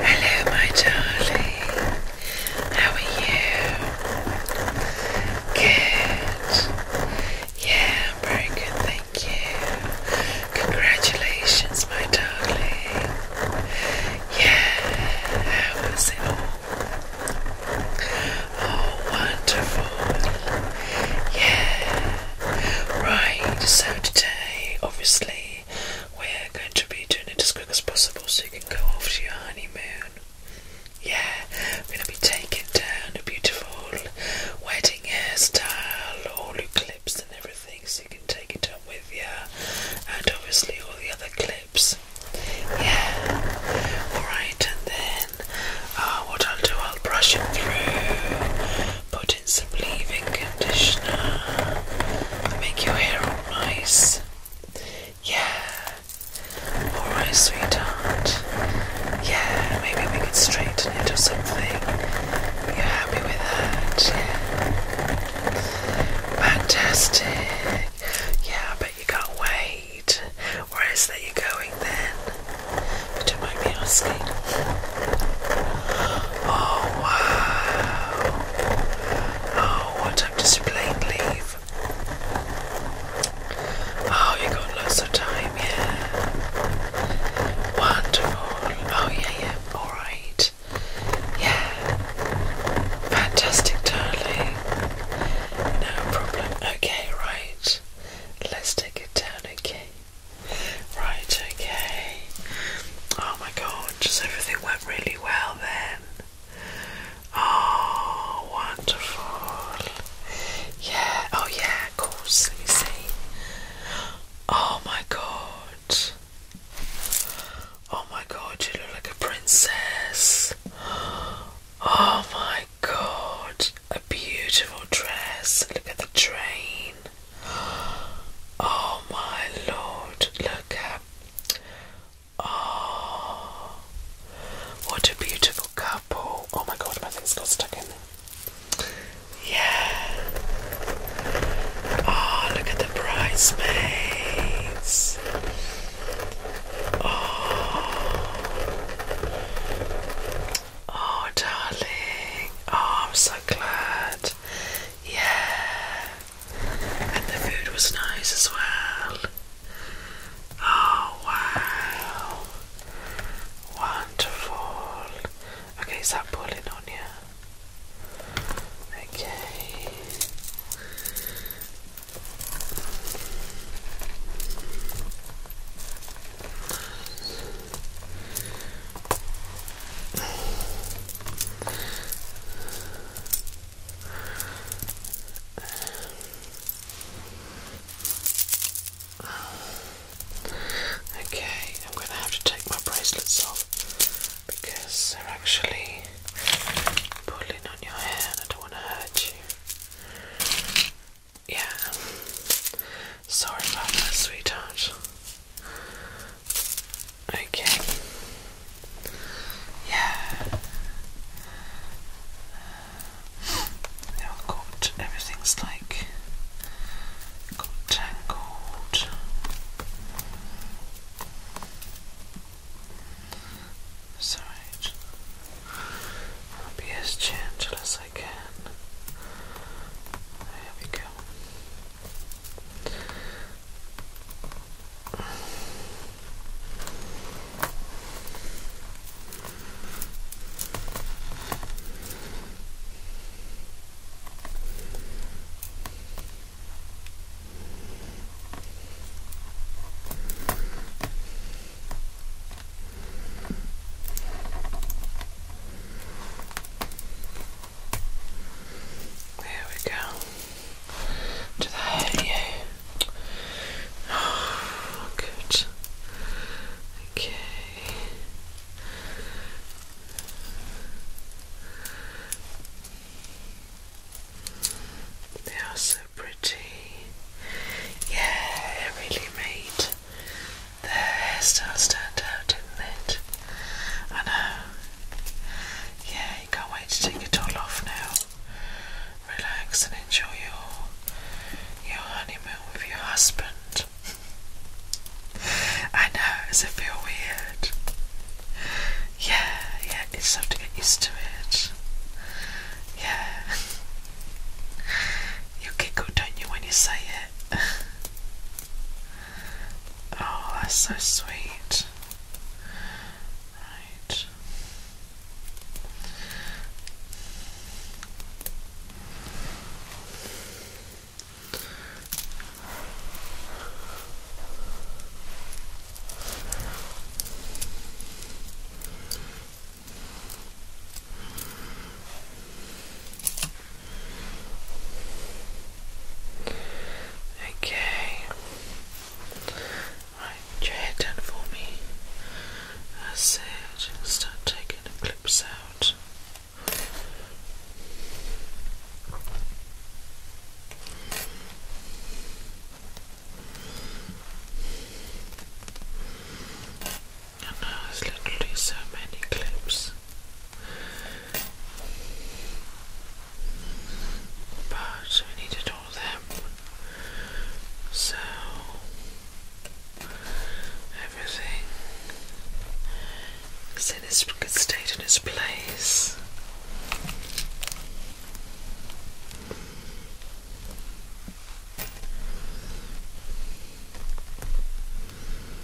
Hello, my darling. How are you? Good. Yeah, very good, thank you. Congratulations, my darling. Yeah, how was it all? Oh, wonderful. Yeah. Right, so today, obviously. We're going to be doing it as quick as possible so you can go off to your honeymoon. Yeah, I'm going to be taking down a beautiful wedding hairstyle, all your clips and everything, so you can take it up with you, and obviously all the other clips. Yeah, alright, and then uh, what I'll do, I'll brush it through. Put put in leave-in conditioner make your hair all nice. Yeah. Alright, sweetheart. Yeah, maybe we could straighten or something. you happy with that? Fantastic. Yeah, I bet you can't wait. Where is that you're going then? But don't mind me asking. Oh wow! Oh, what time does leave? Oh, you got lots of time, yeah. Wonderful. Oh yeah, yeah. All right. Yeah. Fantastic, darling. No problem. Okay, right. Let's take it down. Okay. Right, okay. Oh my god, just everything went really well then. Oh, wonderful. Yeah, oh yeah, of course. Let Oh my god. Oh my god, you look like a princess. Oh my god, a beautiful dress. Look at the train. Oh my lord, look at Oh, what a beautiful couple. Oh my god, my thing's got stuck in there. Yeah. Oh, look at the bridesmaids. Oh. Oh, darling. Oh, I'm so glad. Yeah. And the food was nice as well. Oh wow. Wonderful. Okay, is pulling on you? Okay. Okay, I'm going to have to take my bracelets off because they're actually pulling on your hand. I don't want to hurt you. Yeah. Sorry about that, sweetheart. Okay. Yeah. they got everything's like got tangled. Sorry. I'll be as gentle as I I can. There we go. There we go. To the head, yeah. Oh, good. Okay. They are so pretty. Yeah, it really made the hairstyle stand out, didn't it? I know. Yeah, you can't wait to take it all off now. Relax and enjoy your your honeymoon with your husband. I know, does it feel weird? Yeah, yeah, you just have to get used to it. Yeah. You giggle, don't you, when you say it? Oh, that's so sweet. Right. Okay. Right, your head down for me. That's it. Start taking the clips out. And there's literally so many clips. But we needed all them. So everything is in its good state in its place.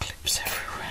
Clips everywhere.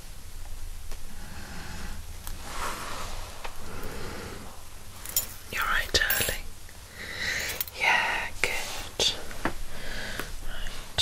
You're right, darling. Yeah, good. Right.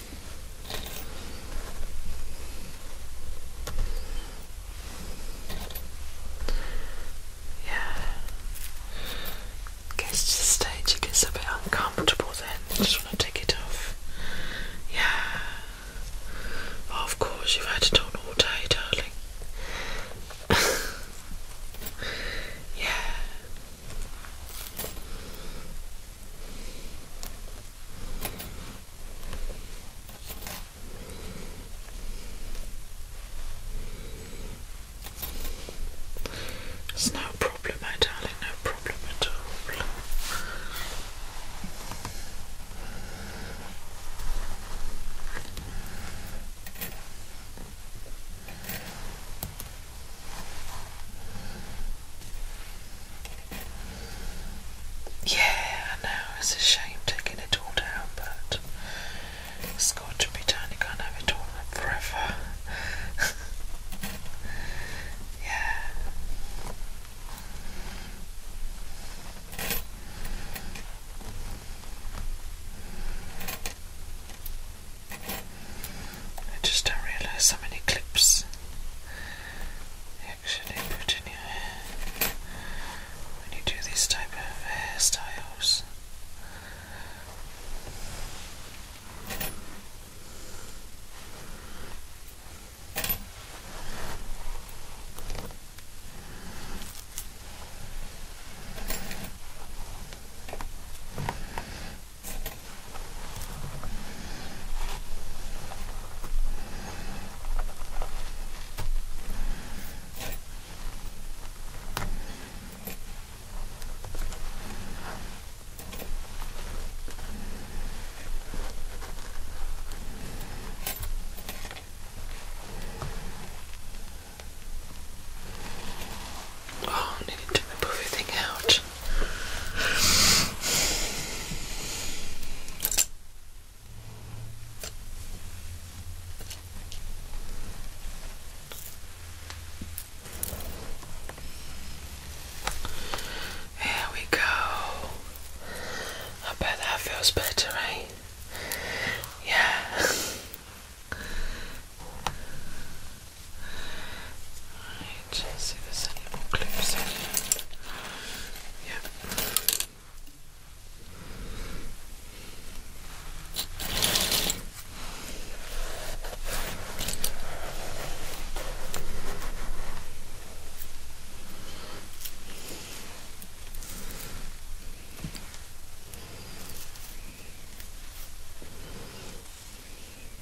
Yeah. Gets to the stage it gets a bit uncomfortable then. I just want to take it off. Yeah. Oh, of course, you've had it on all day, darling. yeah. It's no problem, my darling, no problem at all. Yeah, I it's a shame taking it all down, but it to be done. You can't have it all forever. yeah. I just don't realise how many clips you actually put in your hair when you do these type of hairstyles. Oh, I need to move everything out. Here we go. I bet that feels better, eh? Yeah. Alright, let's see if there's any more clips in here. Yep.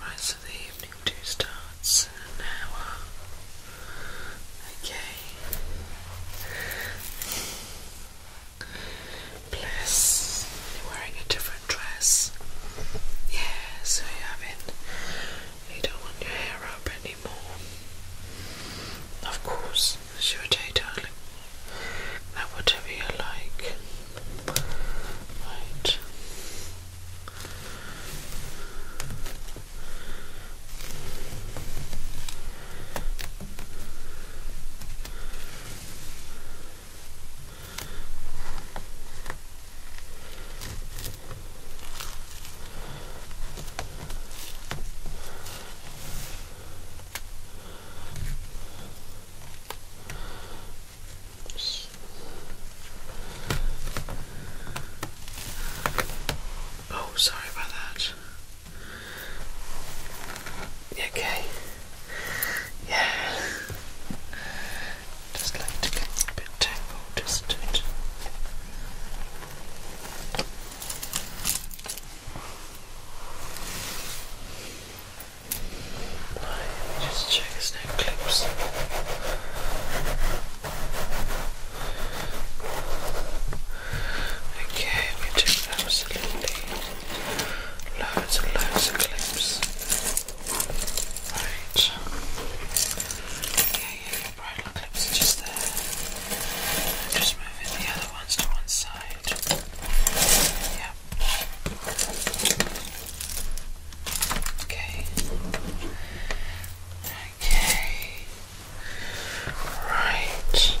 Right, so the evening two starts in an hour. Okay. Bless. You're wearing a different dress. Yeah, so you have You don't want your hair up open. Of course, it's your day darling. Now, whatever you like. Right. Oh, sorry about that. Okay. Yeah. Just like to get a bit tangled, is Right, just check his neck clips. Okay, we took absolutely loads and loads of clips. Right. yeah, just there. Just moving the other ones to one side. Yep. Okay. Okay. Right.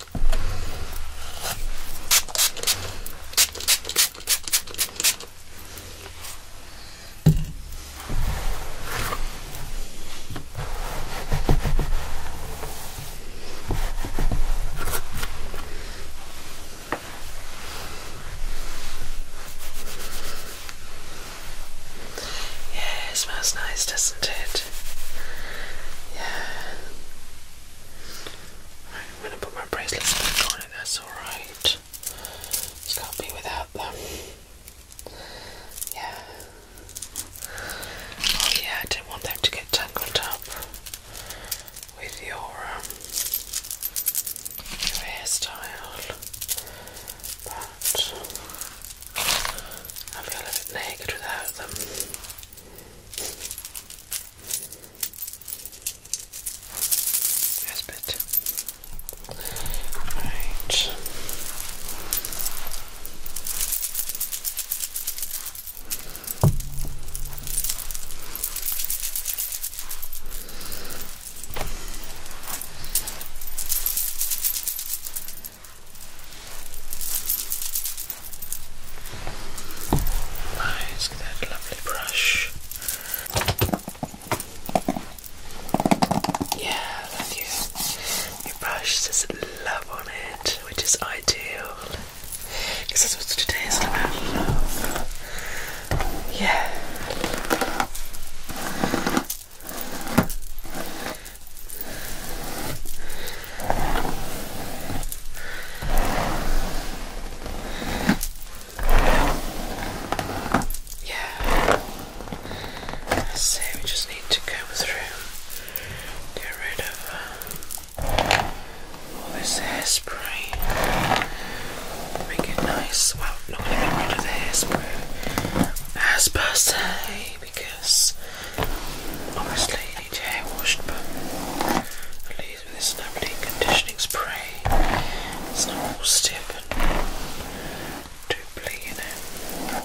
Yeah, it smells nice, doesn't it? Yeah. I'm gonna put my bracelets back on, It that's alright. Just can't be without them. Yeah. Oh, yeah, I didn't want them to get tangled up with your, um, your hairstyle. But I feel a bit naked without them. That's better. Right. Nice, get that lovely brush. Yeah, love you. Your brush says love on it, which is ideal. Because that's what today is about love. Yeah. Yeah. So we just need to go through, get rid of uh, all this hairspray, make it nice. Well, not get rid of the hairspray as per se, because obviously need hair washed, but at least with this lovely conditioning spray, it's not all stiff and doubly, you know.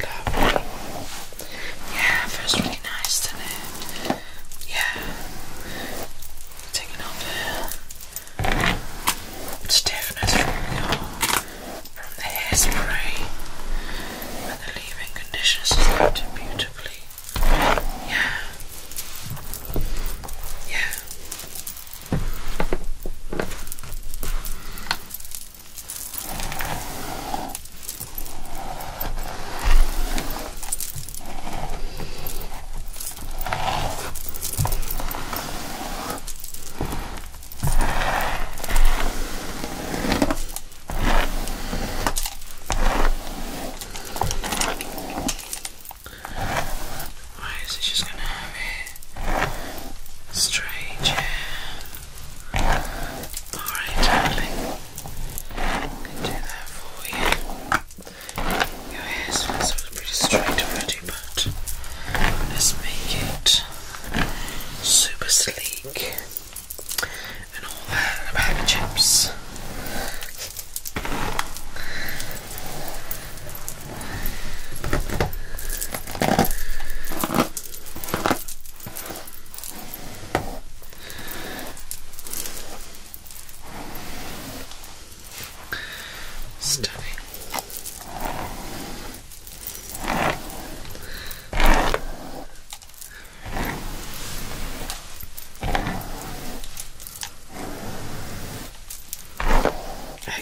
Lovely. Yeah, feels really nice, does Yeah. Taking off the stiffness from the, from hairspray and the leave conditions conditioners is coated beautifully. Yeah. Yeah. Alright, so she's gonna have a Strange. Alright, darling. do that for you. Your hair pretty straight already, but let's make it super sleek and all that and chips. Stunning. I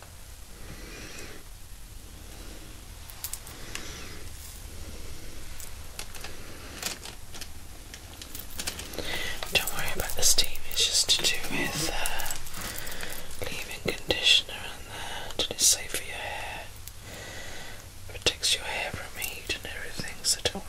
Don't worry about the steam, it's just to do with uh, leaving conditioner on there till it's safe for your hair. Protects your hair from heat and everything, so don't worry.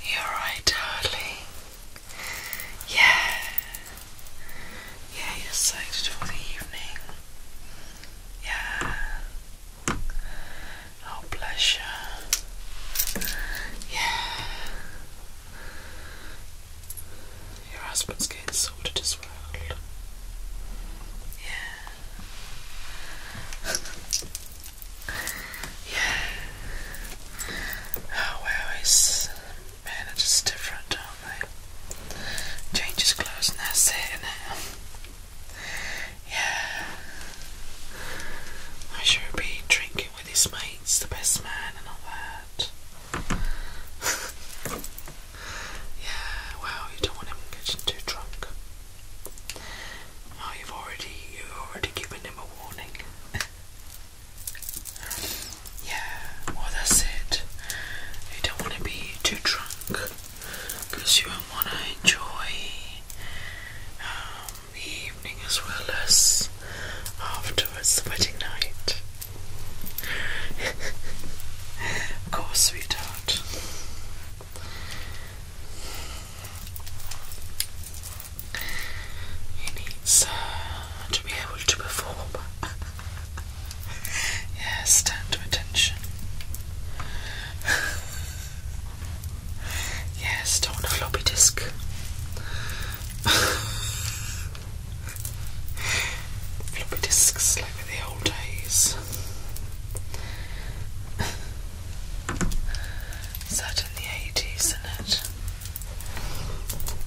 You're right, darling. Yeah. Yeah, you're excited for the evening. Yeah. Oh, pleasure. Yeah. Your husband's getting sorted as well. Yeah. yeah. Oh well, his men different, aren't they? Changes clothes and that's it now. Yeah. I should be drinking with his mates, the best man, and all that. yeah, well, you don't want him getting too drunk. Oh, you've already, you've already given him a warning. yeah, well, that's it. You don't want to be too drunk you don't want to enjoy um, the evening as well as afterwards, the wedding night. of course, sweetheart. He needs uh, to be able to perform. yes, stand to attention. Yes, don't floppy disk. floppy disks like in the old days. Is that in the eighties,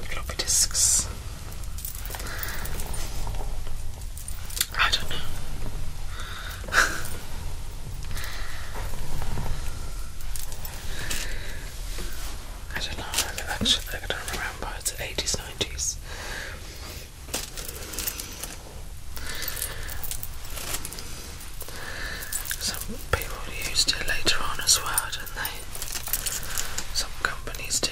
Floppy disks. I don't know. I don't know, actually, I don't remember, it's 80s, 90s. Some people used it later on as well, didn't they? Some companies did.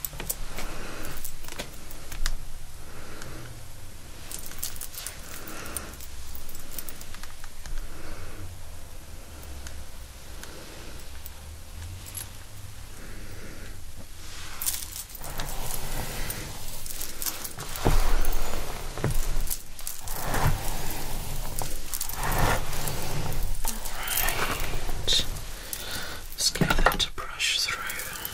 Alright, let's give that a brush through.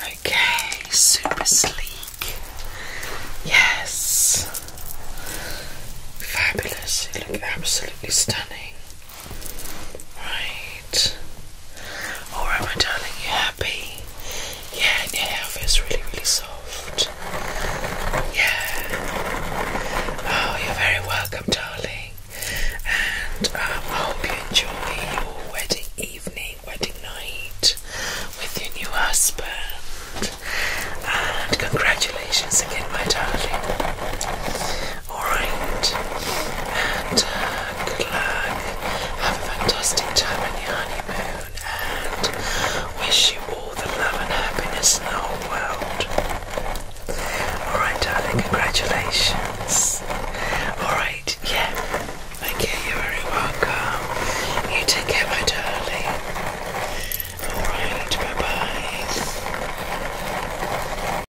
Okay, super sleek. Yes. Fabulous. You look absolutely stunning. Right. Alright, my darling, you are happy? Yeah, your hair feels really, really soft. Yeah. Oh, you're very welcome, darling. And um, I hope you enjoy your wedding evening, wedding night with your new husband. And congratulations again, my darling. Alright. Uh, good luck. Have a fantastic time on your honeymoon. And wish you all the love and happiness in the world. Alright, darling. Congratulations. Alright, yeah. Okay, you're very welcome. You take care, my darling. Alright, bye bye.